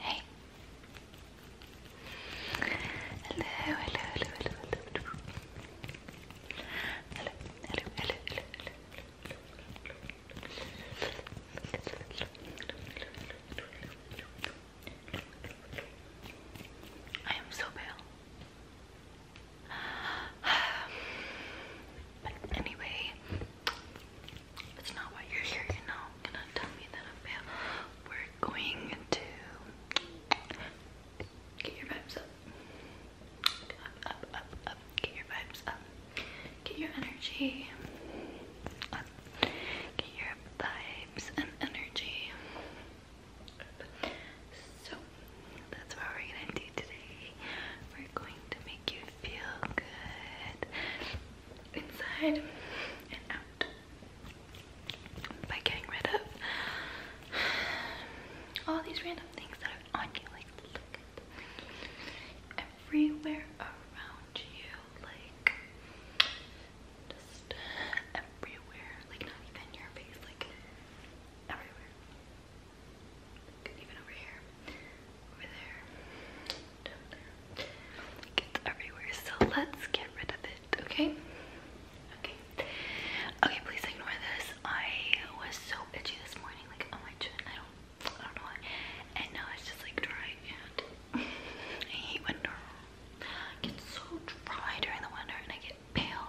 Hey. Hello, hello, hello, hello, hello. Hello, hello, hello, hello, hello. I am so pale. But anyway, it's not why you're here, you know. you gonna tell me that I'm pale. We're going to get your vibes up. Up, up, up, up. Get your vibes up. Get your energy Get your vibes and energy So, that's what we're gonna do today. We're going to make you feel good inside and out by getting rid of all these random things that are on you. Like, everywhere around you, like just uh, everywhere, like not even your face, like everywhere okay? Okay. Okay, please ignore this. I was so itchy this morning, like on my chin. I don't I don't know why. And now it's just like dry I hate winter. I get so dry during the winter and I get pale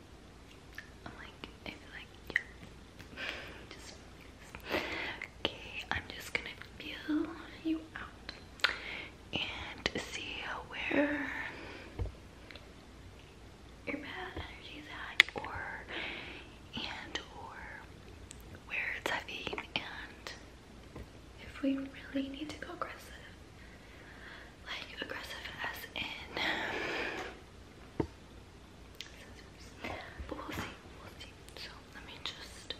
Okay, I'm just gonna feel you out and see where your bad energy at, or and or where it's heavy, and if we really need to go aggressive, like aggressive as in we'll see, let me just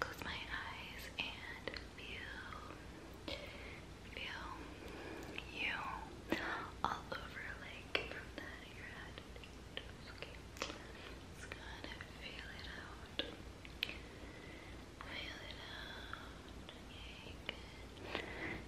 close my eyes and feel, feel you all over, like from the head your head. Just gonna feel it out. Feel it out.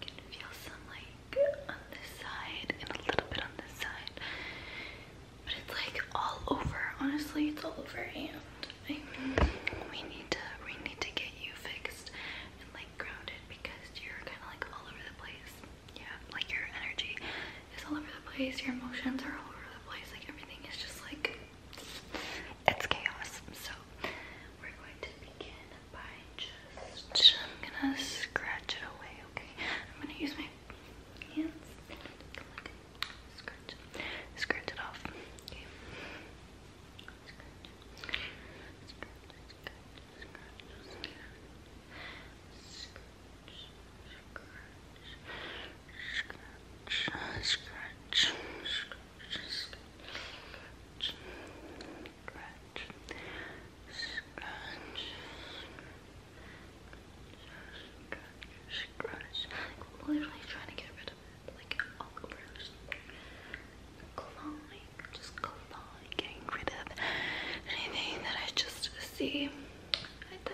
can feel some like on this side and a little bit on this side. But it's like all over. Honestly, it's all over and I, we need to we need to get you fixed and like grounded because you're kinda like all over the place. Yeah, like your energy is all over the place. Your emotions are all over the place. Like everything is just like it's chaos. So we're going to begin by just I'm gonna scratch it away. Okay, I'm gonna use my hands. Scratched it off. Okay scratch, scratch, scratch, I'm literally trying to get rid of it, like all over. Just clawing, just clawing, getting rid of anything that I just see. I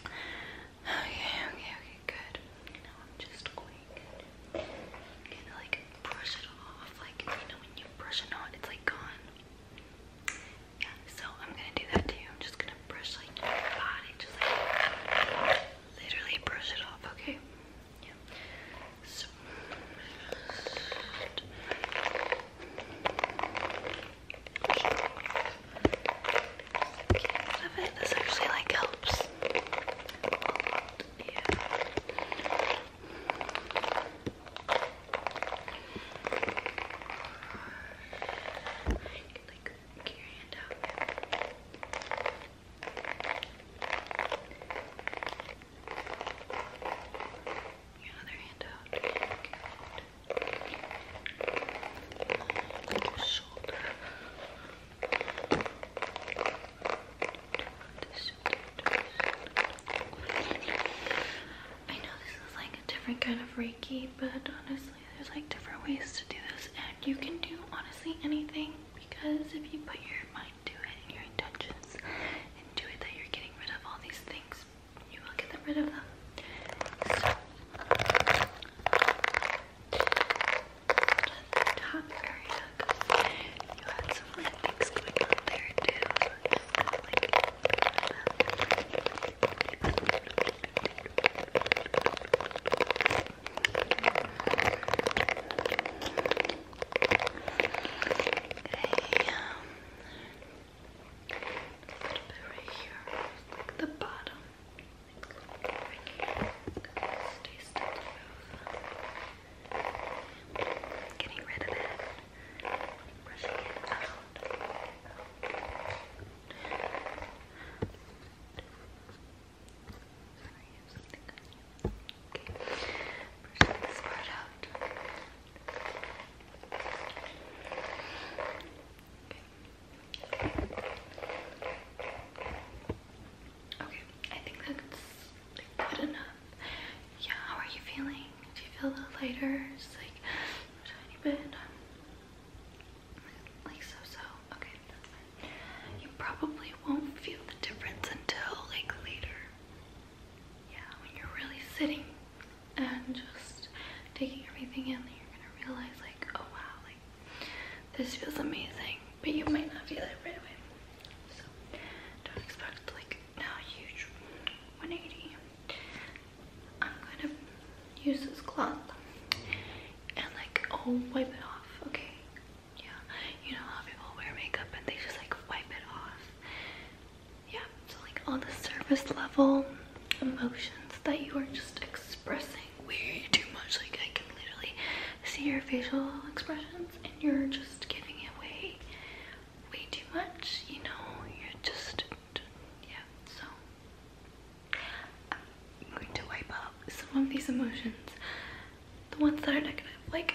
Okay, okay, okay, good. Now I'm just going to like brush it off. Like, you know, when you brush a knot, it's like gone. Yeah, so I'm gonna do that too. I'm just gonna brush like your body, just like literally brush it off, okay? Yeah. So, so cute. I bet this actually like helps. Yeah. You can like get your hand out. Okay. I know this is like a different kind of Reiki, but honestly, there's like different ways to do this, and you can do honestly anything because if you put your mind to it and your intentions and do it, that you're getting rid of all these things you will get rid of them. top area, you had some like going on there too. So but right here, like the bottom, right here, stay still move. Getting rid of it, brushing it out. Sorry, I have something on you. Okay, brushing this part out. Okay. I think that's good enough. Yeah, how are you feeling? Do you feel a little lighter? Just like a tiny bit? Like so-so? Okay, that's fine. You probably won't feel the difference until like later yeah, when you're really sitting and just taking everything in, you're gonna realize like, oh wow, like this feels amazing, but you might not feel it right away. So don't expect like now huge 180. I'm gonna use this cloth and like oh wipe it off, okay? Yeah, you know how people wear makeup and they just like wipe it off yeah, so like all the surface level emotions that you are just expressing way too much. Like I can literally see your facial expressions and you're just giving it away way too much, you know, you're just, yeah, so I'm going to wipe out some of these emotions, the ones that are negative, like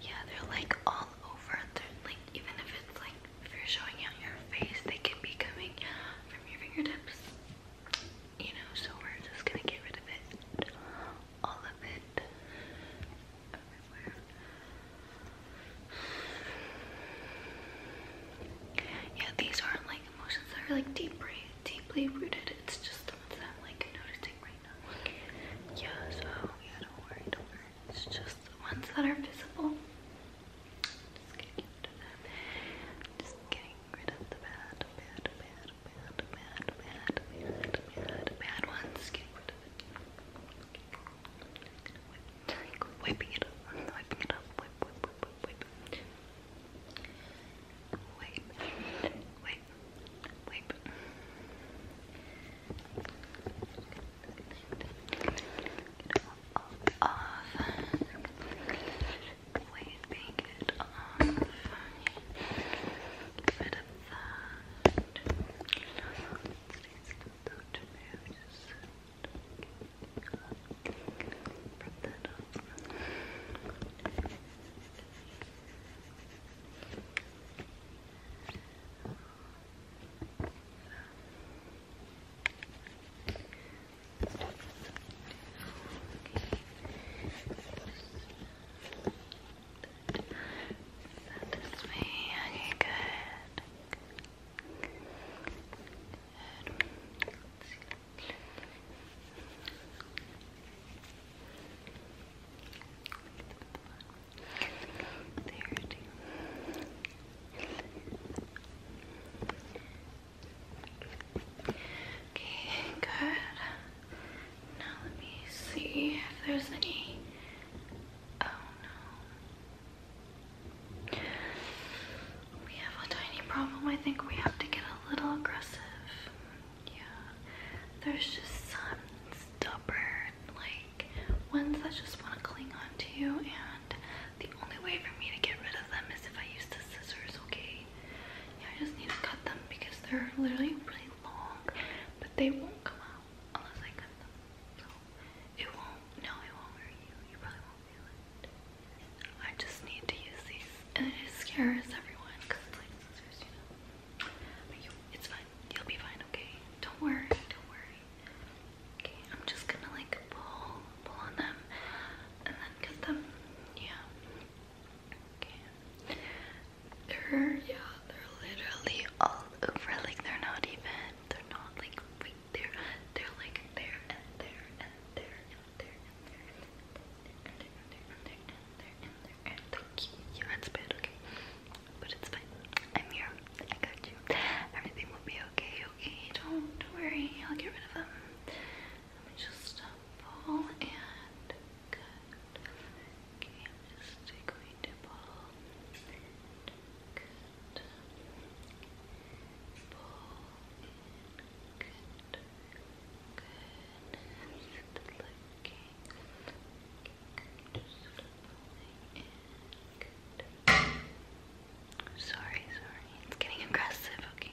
Yeah, they're like all over. They're like even if it's like if you're showing out your face, they can be coming from your fingertips. You know, so we're just gonna get rid of it. All of it. Everywhere. Yeah, these aren't like emotions that are like deeply, deeply rooted. It's just that I'm like noticing yeah, so yeah, don't worry, don't worry. It's just the ones that are visible. Just getting rid of them. Just getting rid of the bad, bad, bad, bad, bad, bad, bad, bad, bad ones. Getting rid of it. wiping it up. wiping it up. Whip, whip, whip, whip, whip. Wipe, wipe, wipe, wipe. Get all it off. Get of that. Stay still, don't move. That is me. Okay, good. Good. Okay, good. Now let me see if there's any. Oh no. We have a tiny problem. I think we have to get a little aggressive. Yeah, there's just some stubborn, like, ones that just want to cling on to you, and the only way for me to get rid of them is if I use the scissors, okay? Yeah, I just need to cut them because they're literally really long, but they won't come out unless I cut them. So, it won't, no, it won't hurt you. You probably won't feel it. I just need to use these, and it scares everyone it's fine. You'll be fine, okay? Don't worry. Okay, I'm just gonna like pull, pull on them, and then get them. Yeah. They're yeah, they're literally all over. Like they're not even. They're not like right there. They're like there and there and there thank you. that's bad, okay? But it's fine. I'm here. I got you. Everything will be okay, okay? Don't, worry. I'll get rid of them. just pull and good. Okay, I'm just going to pull Pull Good. Just Sorry, sorry. It's getting aggressive. Okay.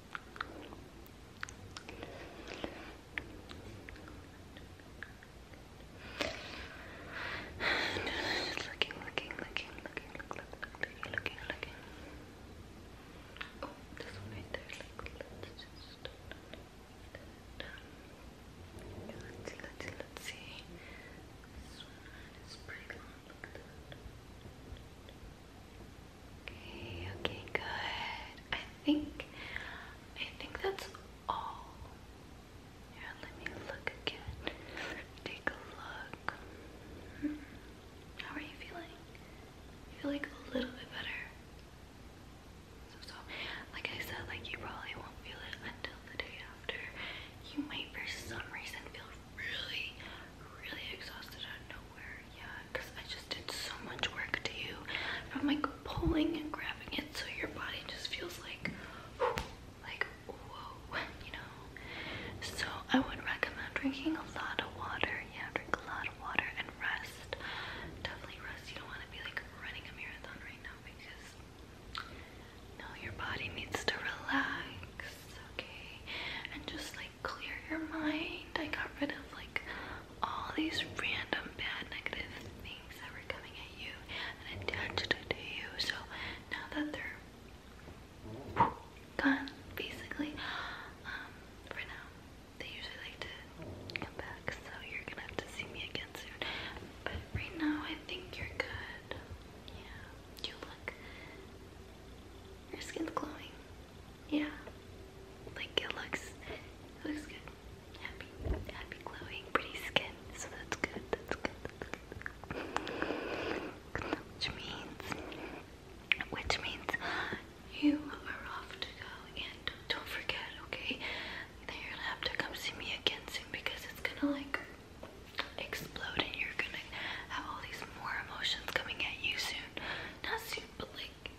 looking, looking, looking, looking, look, look, look, looking, looking, Oh, this one right there. Look, let's just let's see, let's see, let's see. This one is pretty long. Look at that. Okay, okay, good. I think I think that's all. Here, let me look again. Take a look. How are you feeling? I feel like a little bit better. so, like I said, like you probably won't feel it until the day after. You might, for some reason, feel really, really exhausted out of nowhere. Yeah, because I just did so much work to you. I'm like pulling and grabbing it so your body just feels like, whew, like, whoa, you know? So I would recommend drinking a lot of water. Yeah, drink a lot of water and rest. Definitely rest. You don't want to be like running a marathon right now because no, your body needs to relax okay and just like clear your mind. I got rid of like all these random bad negative things that coming at you and attached to you. So now that they're gone, basically, um, for now, they usually like to come back. So you're gonna have to see me again soon. But right now, I think you're good. Yeah, you look your skin's glowing. Yeah. Like it looks looks good. Happy, happy glowing, pretty skin. So that's good. That's good. That's good. Which means which means you are off to go and don't forget, okay? That you're gonna have to come see me again soon because it's gonna like explode and you're gonna have all these more emotions coming at you soon. Not soon, but like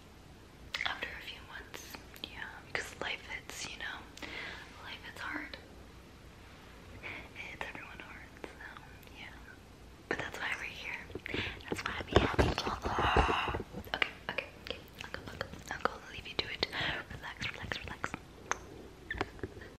after a few months. Yeah, because life hits, you know. Life hits hard. It hits everyone hard, yeah. But that's why we're here. That's why I'm happy. Okay, okay, okay. Uncle, uncle, uncle, leave you to it. Relax, relax, relax.